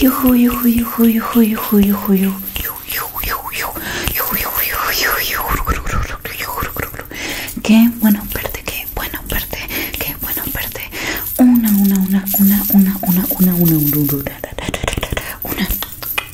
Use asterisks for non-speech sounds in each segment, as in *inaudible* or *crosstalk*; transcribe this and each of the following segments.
yo, una, una, una, una, una, una, una,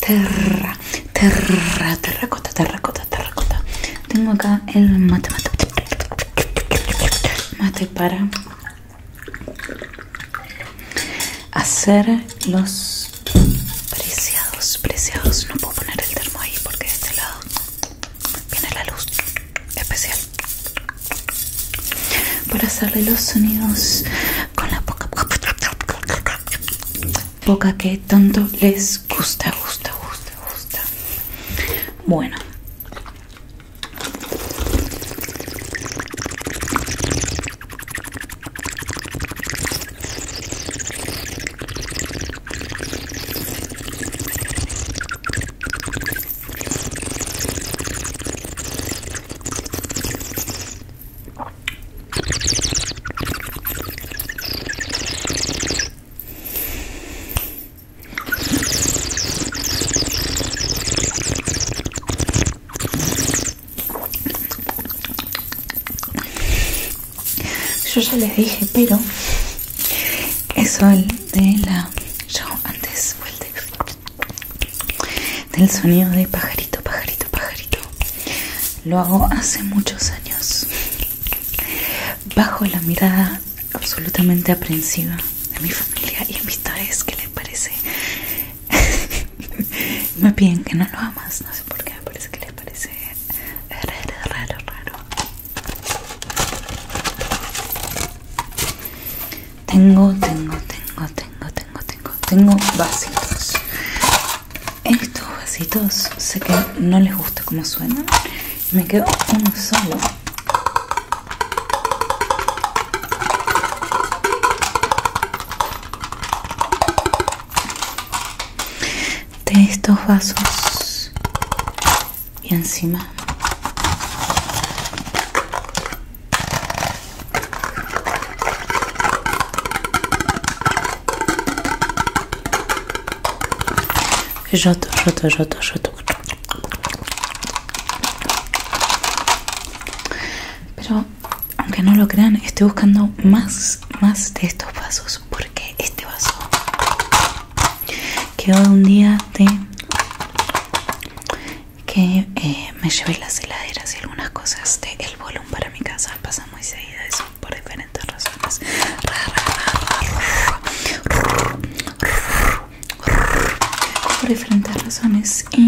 terra, terra, terracota, terracota, terracota. Tengo acá el mate, mate, mate para hacer los preciados, preciados. No puedo poner el termo ahí porque de este lado viene la luz especial para hacerle los sonidos con la Poca que tanto les gusta, gusta, gusta, gusta. Bueno. Yo ya les dije, pero es el de la. Yo antes fue de del sonido de pajarito, pajarito, pajarito. Lo hago hace muchos años. Bajo la mirada absolutamente aprensiva de mi familia y amistades, que les parece? *laughs* me piden que no lo amas, no sé por qué, me parece que les parece raro, raro, raro. Tengo, tengo, tengo, tengo, tengo, vasitos. Estos vasitos sé que no les gusta como suenan. Me quedo uno solo. De estos vasos y encima Roto, roto, roto, roto. Pero aunque no lo crean, estoy buscando más, más de estos vasos porque este vaso quedó un día de que eh, me llevé las heladeras y algunas cosas del de para mi casa pasa muy seguida eso por diferentes razones por diferentes razones y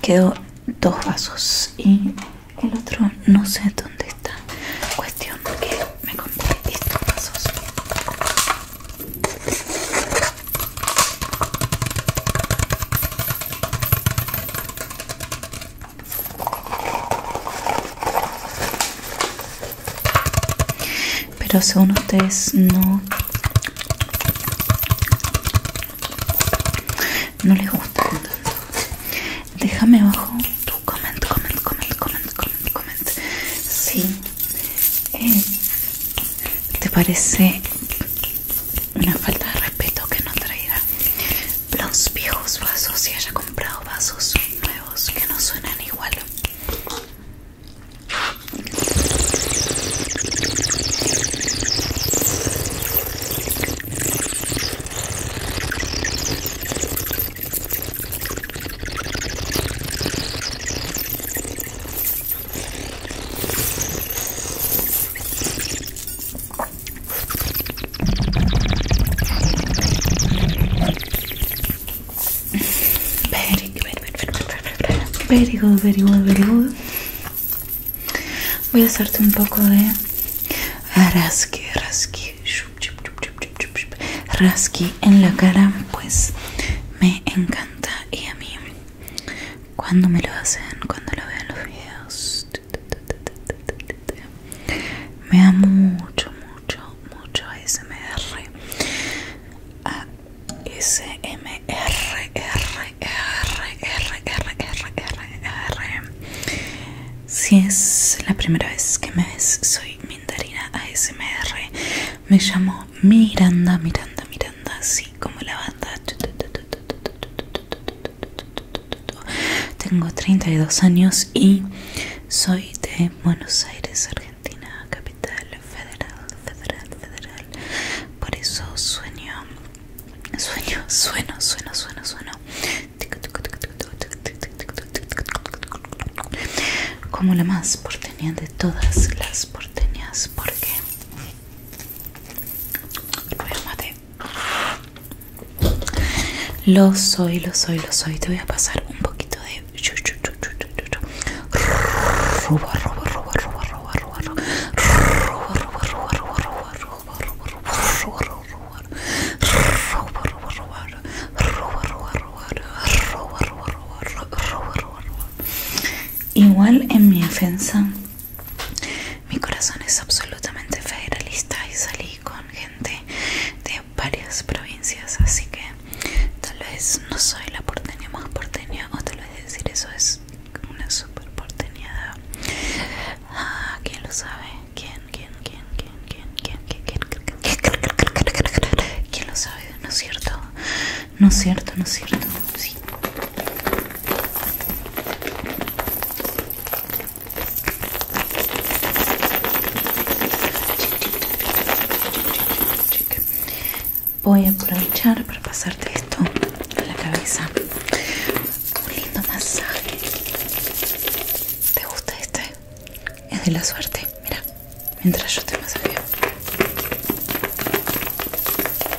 quedó dos vasos y el otro no sé dónde está cuestión que me compré estos vasos pero según ustedes no no les gusta tanto. Déjame abajo tu coment, coment, coment, comment, comment, comment. Sí. Eh, ¿Te parece una falta de respeto que no traerá los viejos vasos y haya comprado vasos nuevos que no suenan igual. Very good, very good, very good, Voy a hacerte un poco de rasqui, rasqui, rasqui en la cara, pues me encanta y a mí cuando me lo hacen, cuando lo veo los videos. Me da mucho, mucho, mucho ASMR. ASMR. Si es la primera vez que me ves, soy Mindarina ASMR. Me llamo Miranda, Miranda, Miranda como la banda tengo 32 años y soy de Buenos Aires, Argentina, capital federal, federal, federal. Por eso sueño, sueño, sueno, sueno, sueno, sueno. Como la más porteña de todas las porteñas, porque lo soy, lo soy, lo soy. Te voy a pasar un poquito de Igual en mi defensa mi corazón es absolutamente federalista y salí con gente de varias provincias, así que tal vez no soy la porteña más porteña, o tal vez decir eso es una super porteñada. Ah, ¿Quién lo sabe? ¿Quién, quién, quién, quién, quién, quién, quién, quién, quién, quién, quién, quién, quién, quién, no es cierto, no es cierto. Sí. Voy a aprovechar para pasarte esto a la cabeza. Un lindo masaje. ¿Te gusta este? Es de la suerte. Mira, mientras yo te masajeo.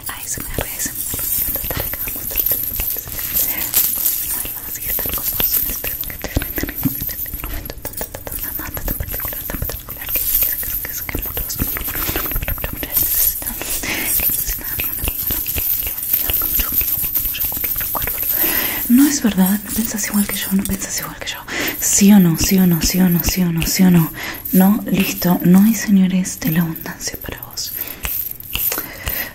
se me encanta no es verdad, no piensas igual que yo, no piensas igual que yo. Sí o no, sí o no, sí o no, sí o no, sí o no. No, listo, no hay señores de la abundancia para vos.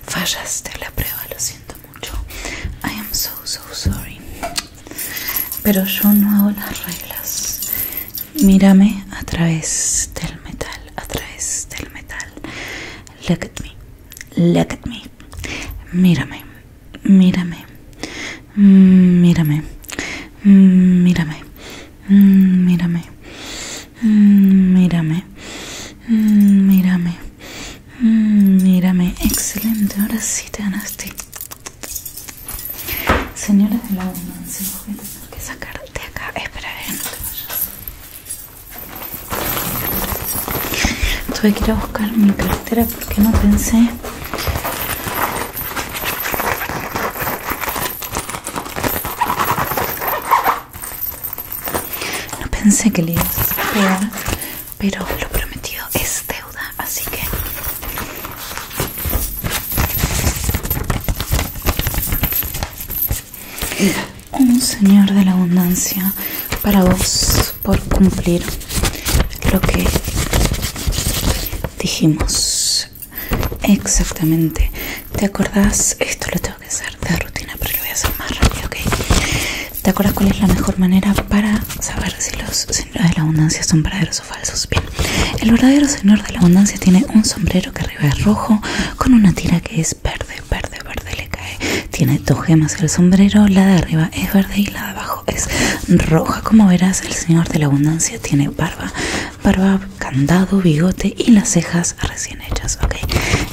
Fallaste la prueba, lo siento mucho. I am so so sorry. Pero yo no hago las reglas. Mírame a través del metal, a través del metal. Look at me, look at me. Mírame, mírame, mm, mírame, mm, mírame. Mmm, mírame. Mmm, mírame. Mmm, mírame. Mmm, mírame. Excelente. Ahora sí te ganaste. Señores de la abundancia, Tengo que tener que sacarte acá. Espera, eh, no te vayas. Tuve que ir a buscar mi cartera porque no pensé no pensé que le ibas a pero lo prometido es deuda, así que... Un señor de la abundancia para vos por cumplir lo que dijimos Exactamente. ¿Te acordás? Esto lo tengo que hacer de rutina, pero lo voy a hacer más rápido, ¿ok? ¿Te acordás cuál es la mejor manera para saber si los señores de la abundancia son verdaderos o falsos? Bien, el verdadero señor de la abundancia tiene un sombrero que arriba es rojo con una tira que es verde, verde, verde le cae. Tiene dos gemas en el sombrero, la de arriba es verde y la de abajo es roja. Como verás, el señor de la abundancia tiene barba barba, candado, bigote y las cejas recién hechas, ok.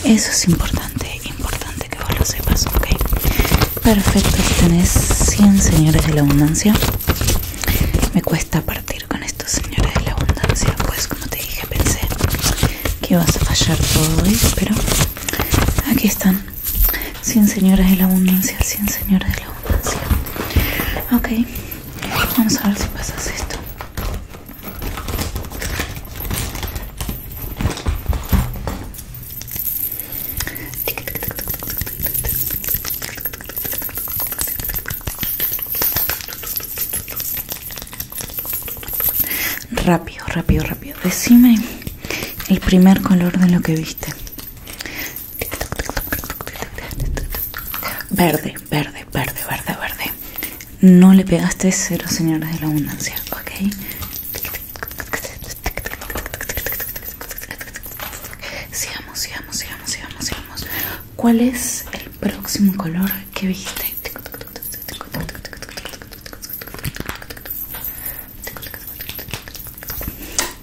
Eso es importante, importante que vos lo sepas, ok. Perfecto, aquí tenés 100 señores de la abundancia. Me cuesta partir con estos señores de la abundancia, pues como te dije, pensé que ibas a fallar todo hoy, pero aquí están. 100 señores de la abundancia, 100 señores de la abundancia. Ok. Vamos a ver si pasas esto. Rápido, rápido, rápido. Decime el primer color de lo que viste. Verde, verde, verde, verde, verde. No le pegaste cero señores de la abundancia, ¿ok? Sigamos, sigamos, sigamos, sigamos, sigamos. ¿Cuál es el próximo color que viste?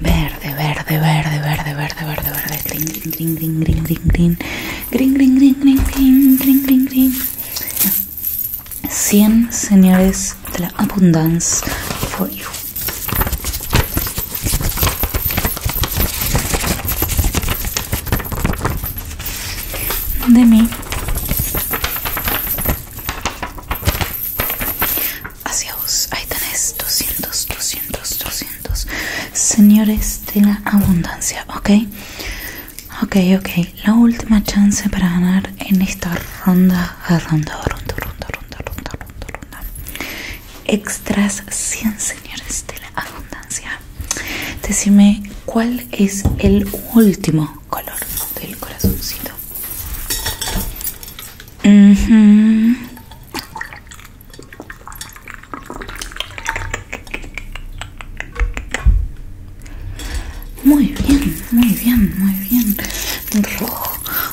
Verde, verde, verde, verde, verde, verde, verde, green, green, green, green, green, green, green, green, green, green, green, green, green. 100 señores de la abundancia for you de mí hacia vos ahí tenés 200 200 200 señores de la abundancia ok ok ok la última chance para ganar en esta ronda ronda ronda ronda ronda ronda ronda ronda extras 100 señores de la abundancia decime cuál es el último color del corazoncito Muy bien, muy bien, muy bien. Rojo,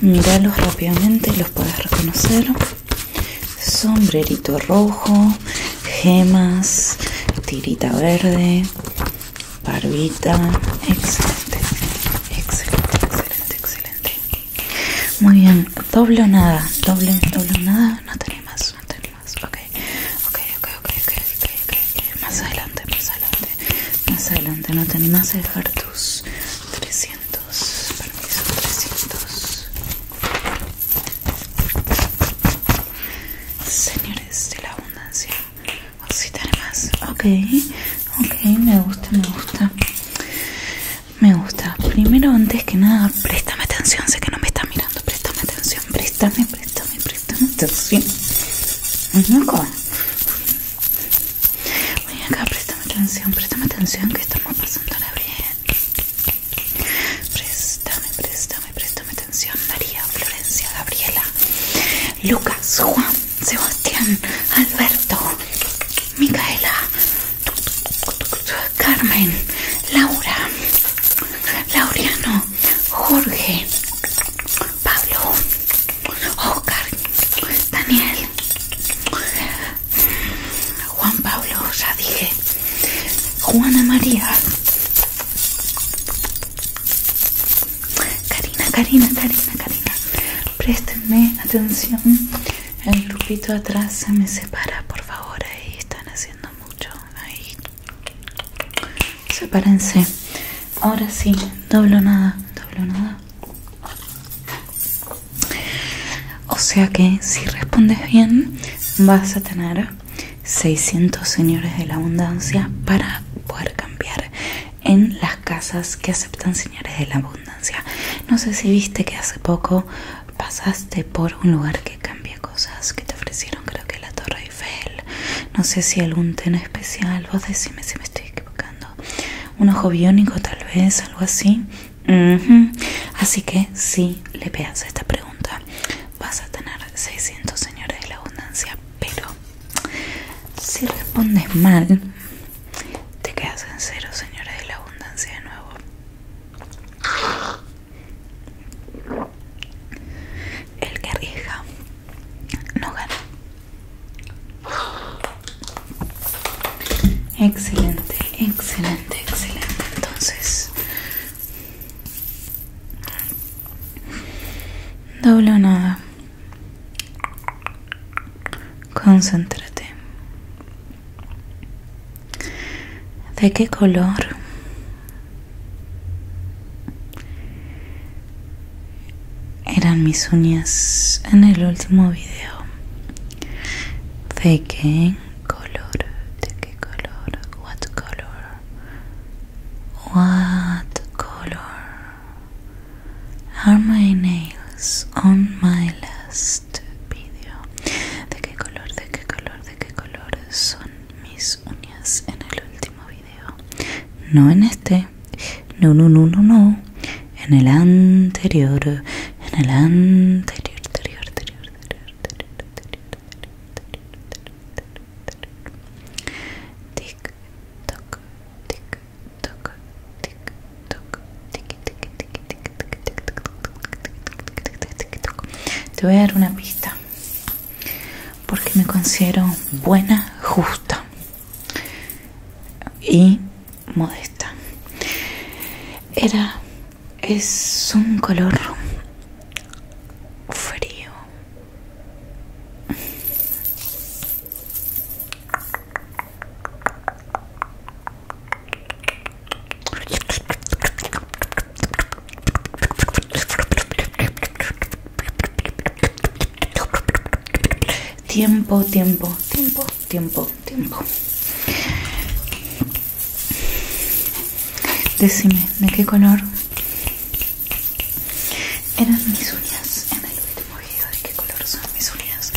Miralos Míralos rápidamente, los puedes reconocer. Sombrerito rojo, gemas, tirita verde, barbita. Excelente, excelente, excelente, excelente. Muy bien, doble nada, doble, doble nada, no tenés más, no tenés más. Ok, ok, ok, ok, ok, okay, okay. más adelante, más adelante más adelante, no te animas a dejar tus 300, permiso, 300. Señores de la abundancia, si tenés ok, ok, me gusta, me gusta. Me gusta. Primero, antes que nada, préstame atención. Sé que no me estás mirando. Préstame atención. Préstame, préstame, préstame atención. ¿Cómo? Ven acá, préstame atención, préstame atención que estamos la bien. Préstame, préstame, préstame atención. María, Florencia, Gabriela, Lucas, Juan, Sebastián, Alberto, Micaela, Carmen, Laura, Laureano, Jorge, Pablo, Oscar, oh, Daniel, Juan Pablo, ya dije, Juana María, Karina, Karina, Karina, Karina, préstenme atención, el grupito atrás se me separa, por favor, ahí están haciendo mucho, ahí, sepárense ahora sí doblo nada doblo nada o sea que si respondes bien vas a tener 600 señores de la abundancia para poder cambiar en las casas que aceptan señores de la abundancia no sé si viste que hace poco pasaste por un lugar que cambia cosas que te ofrecieron creo que la torre no sé si algún tema especial. Vos decime si me estoy equivocando. Un ojo biónico, tal vez, algo así. Así que si le pegas esta pregunta, vas a tener 600 señores de la abundancia. Pero si respondes mal, te quedas en cero, señores de la abundancia, de nuevo. El que rija no gana. Excelente, excelente, excelente. Entonces, doble nada. Concéntrate. ¿De qué color eran mis uñas en el último video. ¿De qué color? ¿De qué color? What color? What color are my nails on my last video? ¿De qué color? ¿De qué color? ¿De qué color son mis uñas en el último video? No en este. No, no, no, no, no. En el anterior. En el anterior, anterior, anterior, porque me considero buena, justa y modesta. Era es un color frío. Tiempo, tiempo, tiempo, tiempo, tiempo. Decime, ¿de qué color eran mis uñas en el último video? ¿De qué color son mis uñas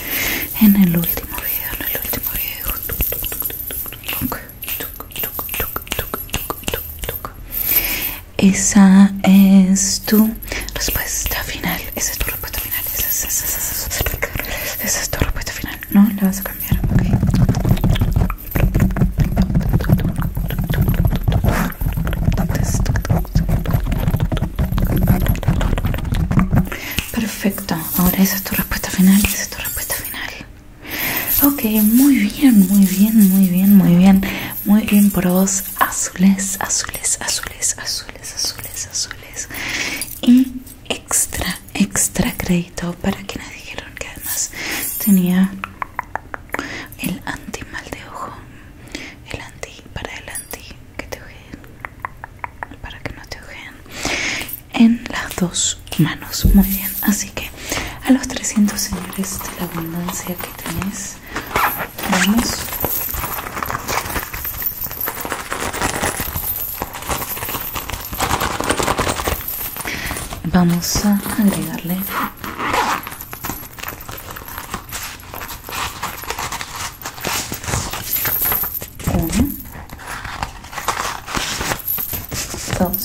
en el último video? En el último video. Esa es tu respuesta final. Esa es tu respuesta final. Esa es, es, tu respuesta final. No la vas a cambiar. Perfecto. Ahora esa es tu respuesta final. Esa es tu respuesta final. Ok, muy bien, muy bien, muy bien, muy bien. Muy bien por vos. Azules, azules, azules, azules, azules, azules. Y extra, extra crédito para quienes dijeron que además tenía el anti mal de ojo. El anti, para el anti, que te ojeen. Para que no te ojeen. En las dos manos. Muy bien. Así así que a los 300 señores de la abundancia que tenés vamos a agregarle 2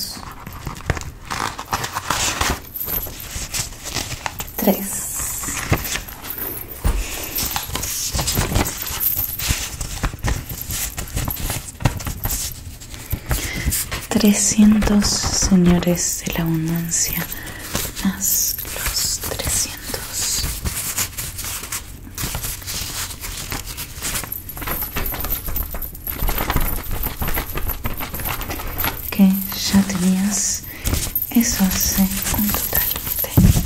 Tres Trescientos señores de la abundancia más los trescientos que ya tenías. Eso hace un total de...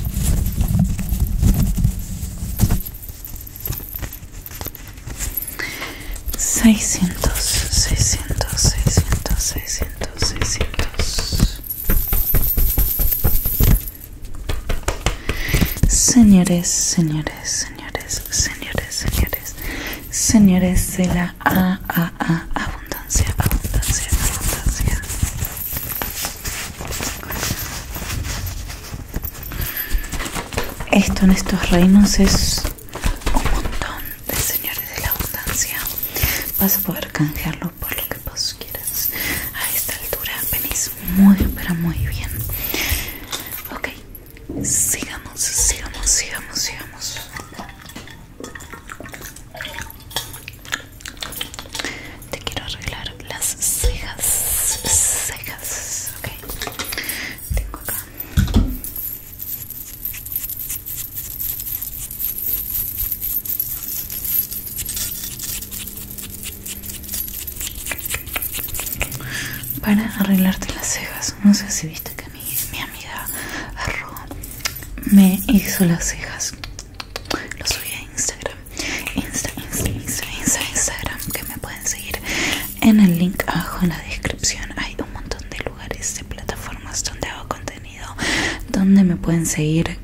Seiscientos, seiscientos, seiscientos, seiscientos, seiscientos. Señores, señores, señores, señores, señores señores, de la abundancia, abundancia, abundancia. Esto en estos reinos es un montón de señores de la abundancia. Vas a poder canjearlo por lo que vos quieras. A esta altura venís muy, pero muy bien. Ok, Sigamos, sigamos, sigamos, sigamos. Te quiero arreglar las cejas, cejas, ok. Tengo acá para arreglarte las cejas. No sé si viste que mi, amiga Arro me hizo las cejas. Lo subí a Instagram. Insta, Insta, Insta, Insta, Instagram. Que me pueden seguir en el link abajo en la descripción. Hay un montón de lugares, de plataformas donde hago contenido, donde me pueden seguir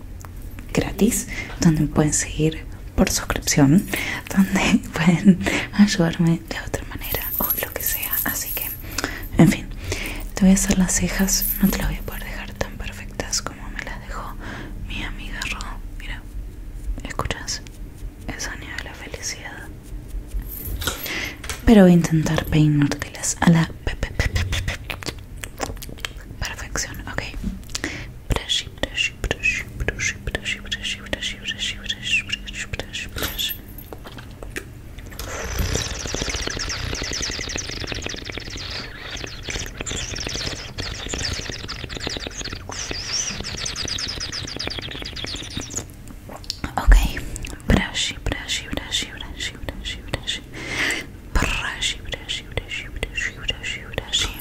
gratis, donde me pueden seguir por suscripción, donde *laughs* pueden ayudarme de otra manera o lo que sea así que en fin te voy a hacer las cejas no te las voy a poder dejar tan perfectas como me las dejó mi amiga Ro mira escuchas el sonido de la felicidad pero voy a intentar las a la perfección ok Okay, brush, brush, brush, brush, brush, brush, brush, brush, brush, brush, brush, brush, brush, brush, brush, brush,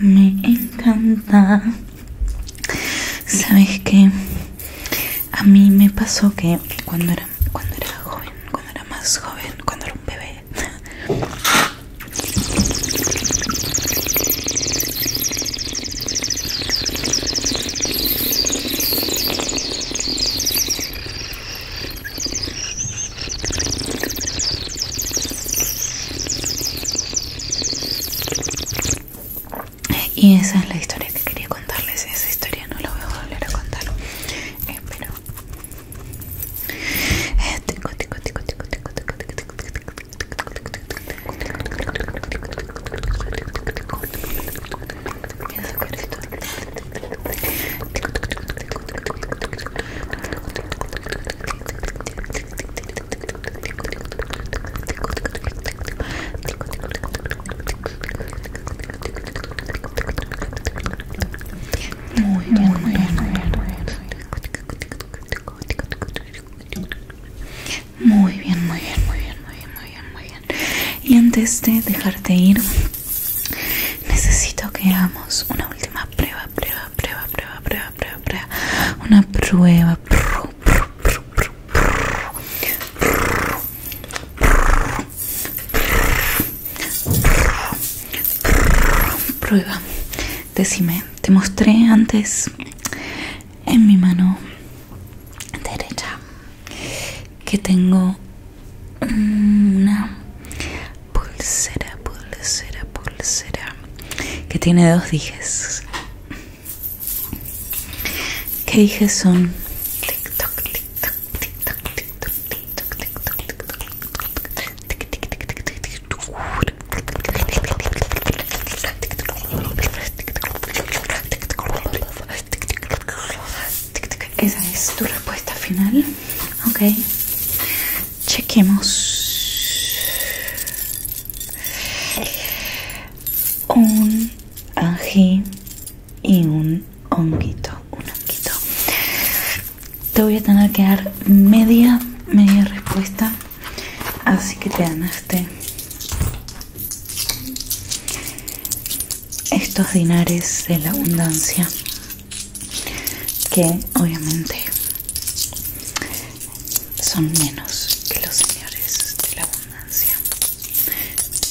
Me encanta. Sabes que a mí me pasó que cuando era, cuando era joven, cuando era más joven, cuando era un bebé. Y esa es la historia que quería contarles. Esa historia no la voy a volver a contar. Muy bien, muy bien, muy bien, muy bien. Muy bien, muy bien, muy bien, muy bien, muy bien, muy bien. Y antes de dejarte ir, Necesito que hagamos una última prueba, prueba, prueba, prueba, prueba, prueba, prueba. Una prueba. Prueba. Decime, te mostré antes en mi mano derecha que tengo una pulsera, pulsera, pulsera que tiene dos dijes. ¿Qué dijes son? Esa es tu respuesta final. Ok. Chequemos. Un ají y un honguito. Un honguito. Te voy a tener que dar media, media respuesta. Así que te ganaste estos dinares de la abundancia que obviamente son menos que los señores de la abundancia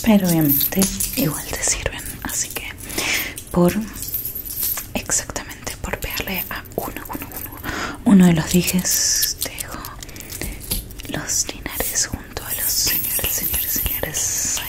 pero obviamente igual te sirven así que por exactamente por verle a uno uno uno uno de los dijes dejo los dinares junto a los señores señores señores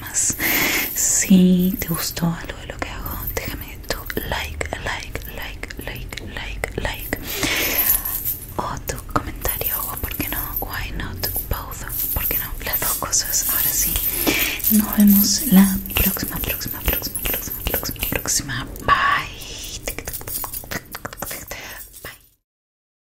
más. Si te gustó algo de lo que hago, déjame tu like, like, like, like, like, like. O tu comentario, o por qué no, why not, both, por qué no, las dos cosas. Ahora sí, nos vemos la próxima, próxima, próxima, próxima, próxima, próxima. Bye. Bye.